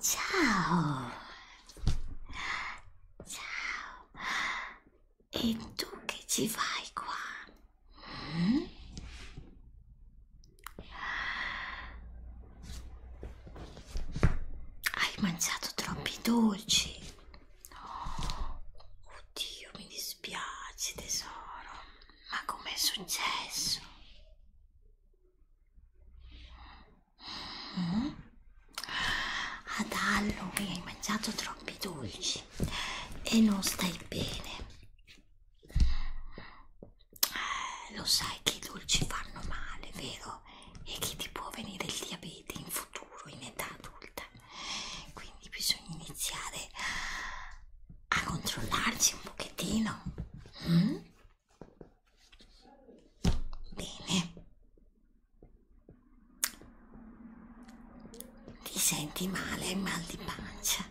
Ciao! Ciao! E tu che ci fai qua? Mm? Hai mangiato troppi dolci. Oh, oddio, mi dispiace tesoro, ma com'è successo? Mm? Ad Halloween hai mangiato troppi dolci e non stai bene. Eh, lo sai che i dolci fanno male, vero? E che ti può venire il diabete in futuro, in età adulta quindi bisogna iniziare a controllarci un pochettino mm? bene ti senti male hai mal di pancia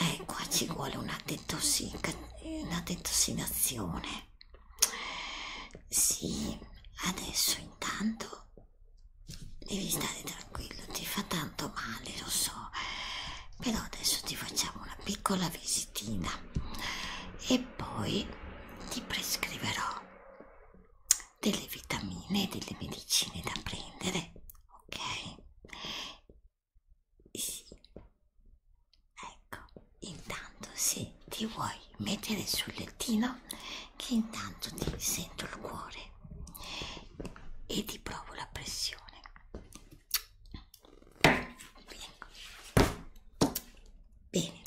eh, qua ci vuole una, una detossinazione sì adesso intanto Devi stare tranquillo, ti fa tanto male, lo so, però adesso ti facciamo una piccola visitina e poi ti prescriverò delle vitamine e delle medicine da prendere, ok? Sì. Ecco, intanto se ti vuoi mettere sul lettino che intanto ti sento il cuore e ti provo la pressione bene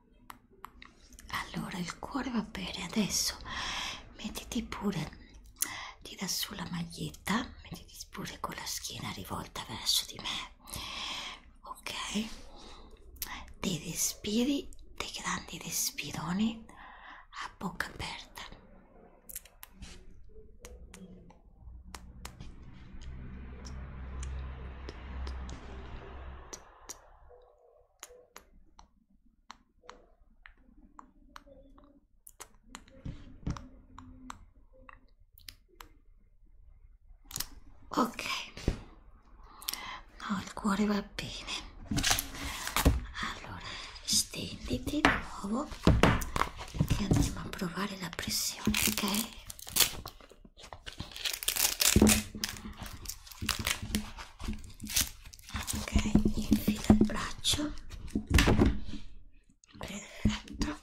allora il cuore va bene adesso mettiti pure tira su la maglietta mettiti pure con la schiena rivolta verso di me ok ti respiri dei grandi respironi a bocca aperta Ok, no, il cuore va bene. Allora, stenditi di nuovo che andiamo a provare la pressione, ok? ok infila il braccio perfetto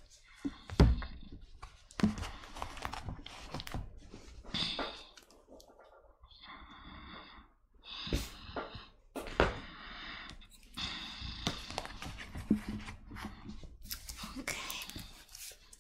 ok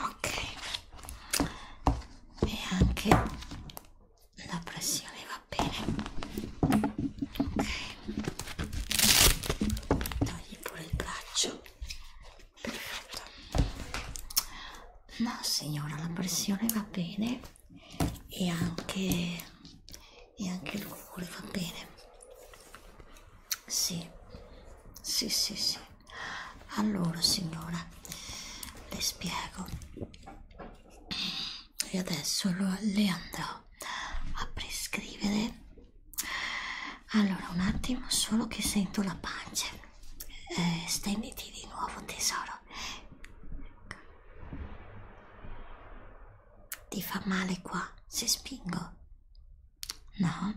Ok, e anche la pressione va bene. Ok, togli pure il braccio perfetto no signora la pressione va bene e anche e anche il cuore va bene sì sì sì sì allora signora le spiego e adesso lo, le andrò a prescrivere allora, un attimo, solo che sento la pancia. Eh, stenditi di nuovo, tesoro. Ti fa male qua se spingo? No?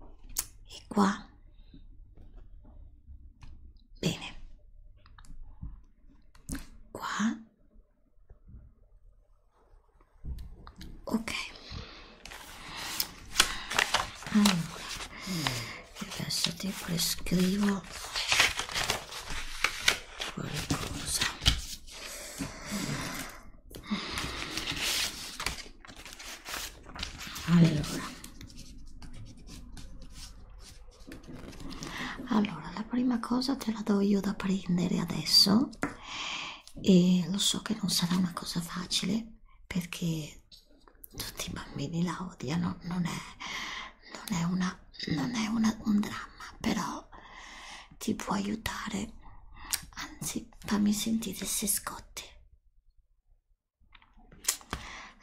E qua? Bene. Qua? ok allora io adesso ti prescrivo qualcosa allora allora la prima cosa te la do io da prendere adesso e lo so che non sarà una cosa facile perché tutti i bambini la odiano, non è, non è, una, non è una, un dramma, però ti può aiutare, anzi fammi sentire se scotti.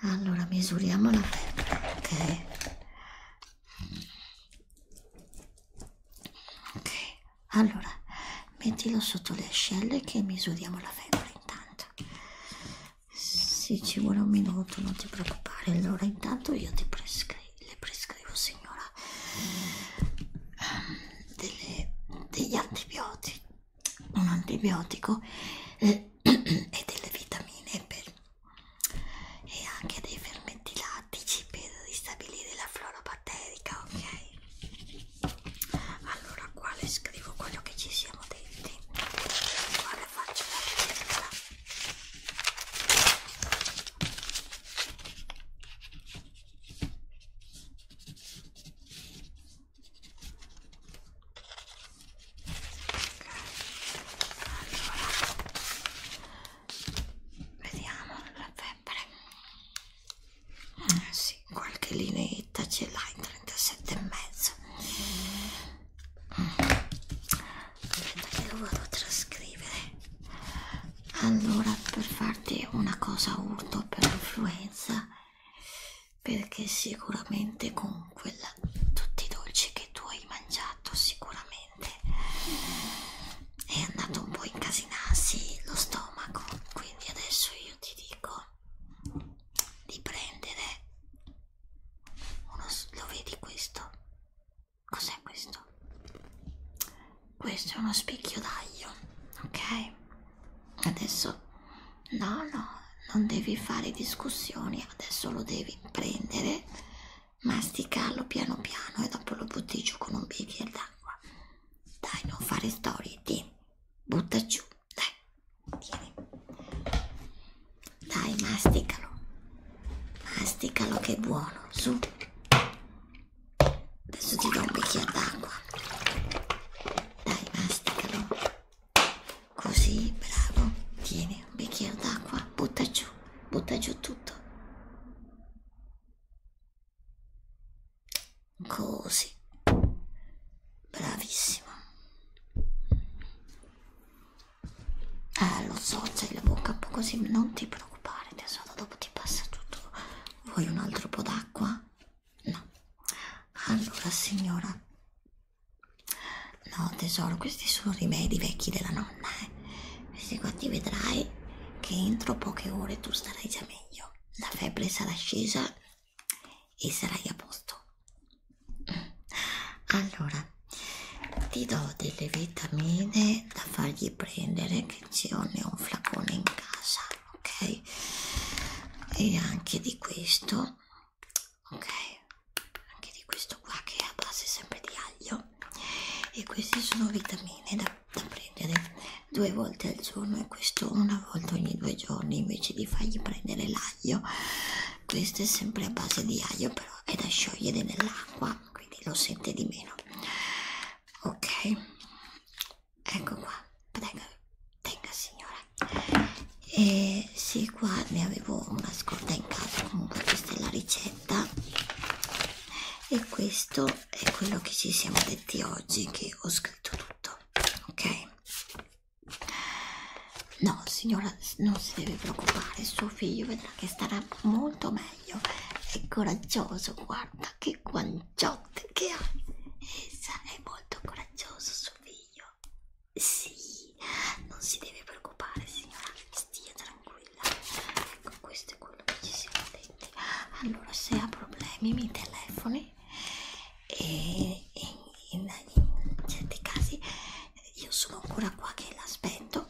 Allora misuriamo la febbre, ok? Ok, allora, mettilo sotto le ascelle che misuriamo la febbre intanto. Sì, ci vuole un minuto, non ti preoccupare. Allora, intanto io ti prescri le prescrivo, signora, delle, degli antibiotici, un antibiotico eh, e delle vitamine per, e anche dei fermenti lattici per ristabilire la flora batterica, ok? Allora qua le scrivo quello che ci siamo detti. Qua le faccio la ricetta. Okay. Allora vediamo la febbre eh, sì, qualche lineetta ce l'hai 37 e mezzo aspetta che lo vado a trascrivere allora per farti una cosa urto per l'influenza perché sicuramente con quella tutti i dolci che tu hai mangiato sicuramente veramente è andato un po' a incasinarsi lo stomaco quindi adesso io ti dico di prendere uno lo vedi questo cos'è questo questo è uno spicchio d'aglio ok adesso no no non devi fare discussioni adesso lo devi prendere masticarlo piano piano e dopo lo butti giù con un bicchiere d'acqua. Dai, non fare storie, tieni, butta giù, dai, tieni. Dai, masticalo, masticalo che è buono, su. Adesso ti do un bicchiere d'acqua. Dai, masticalo. Così, bravo. Tieni un bicchiere d'acqua, butta giù butta giù tutto. Così. Bravissima. Eh, lo so, c'hai la bocca un po' così, non ti preoccupare tesoro, dopo ti passa tutto. Vuoi un altro po' d'acqua? No. Allora, signora, No tesoro, questi sono rimedi vecchi della nonna, eh. Questi qua ti vedrai che entro poche ore tu starai già meglio. La febbre sarà scesa e sarai a posto. Mm. Allora, ti do delle vitamine da fargli prendere che ce ne ho un flacone in casa, ok? E anche di questo, ok? anche di questo qua che è a base sempre di aglio e queste sono vitamine da, da prendere due volte al giorno e questo una volta ogni due giorni invece di fargli prendere l'aglio questo è sempre a base di aglio però è da sciogliere nell'acqua quindi lo sente di meno ok ecco qua prego tenga signora e sì qua ne avevo una scorta in casa comunque questa è la ricetta e questo è quello che ci siamo detti oggi che ho scritto tutto ok no signora non si deve preoccupare suo figlio vedrà che starà molto meglio è coraggioso guarda che guanciotte che ha essa è molto coraggioso suo figlio io. Sì, non si deve preoccupare signora, stia tranquilla. Ecco, questo è quello che ci siamo detti. Allora, se ha problemi mi telefoni e in, in, in certi casi eh, io sono ancora qua che l'aspetto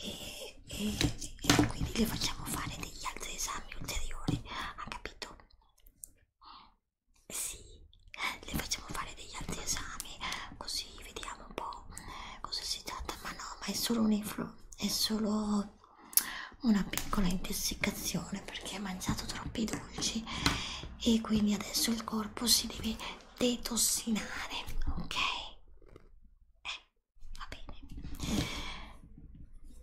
e, e, e quindi le facciamo fare degli altri esami ulteriori, ha capito? Sì, le facciamo fare degli altri esami, così vediamo un po' cosa si tratta. Ma no, ma è solo un influ è solo una piccola intossicazione perché ha mangiato troppi dolci e quindi adesso il corpo si deve detossinare, ok? Eh, va bene.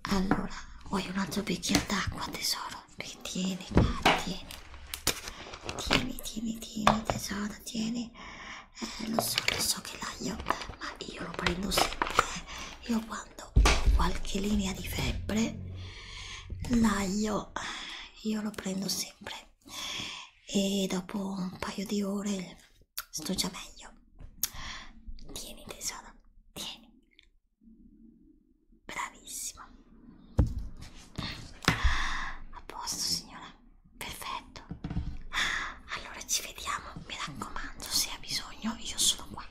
Allora, vuoi un altro bicchiere d'acqua, tesoro? Tieni, cara, tieni. Tieni, tieni, tieni, tesoro, tieni. Eh, lo so, lo so che l'aglio, ma io lo prendo sempre. Io quando ho qualche linea di febbre, l'aglio io lo prendo sempre. E dopo un paio di ore sto già meglio. Tieni tesoro, tieni bravissima a posto signora perfetto allora ci vediamo mi raccomando se ha bisogno io sono qua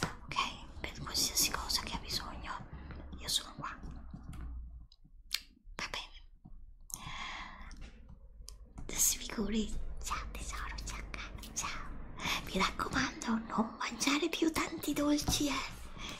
ok per qualsiasi cosa che ha bisogno io sono qua va bene si figuri ciao tesoro ciao ciao mi raccomando non mangiare più tanti dolci eh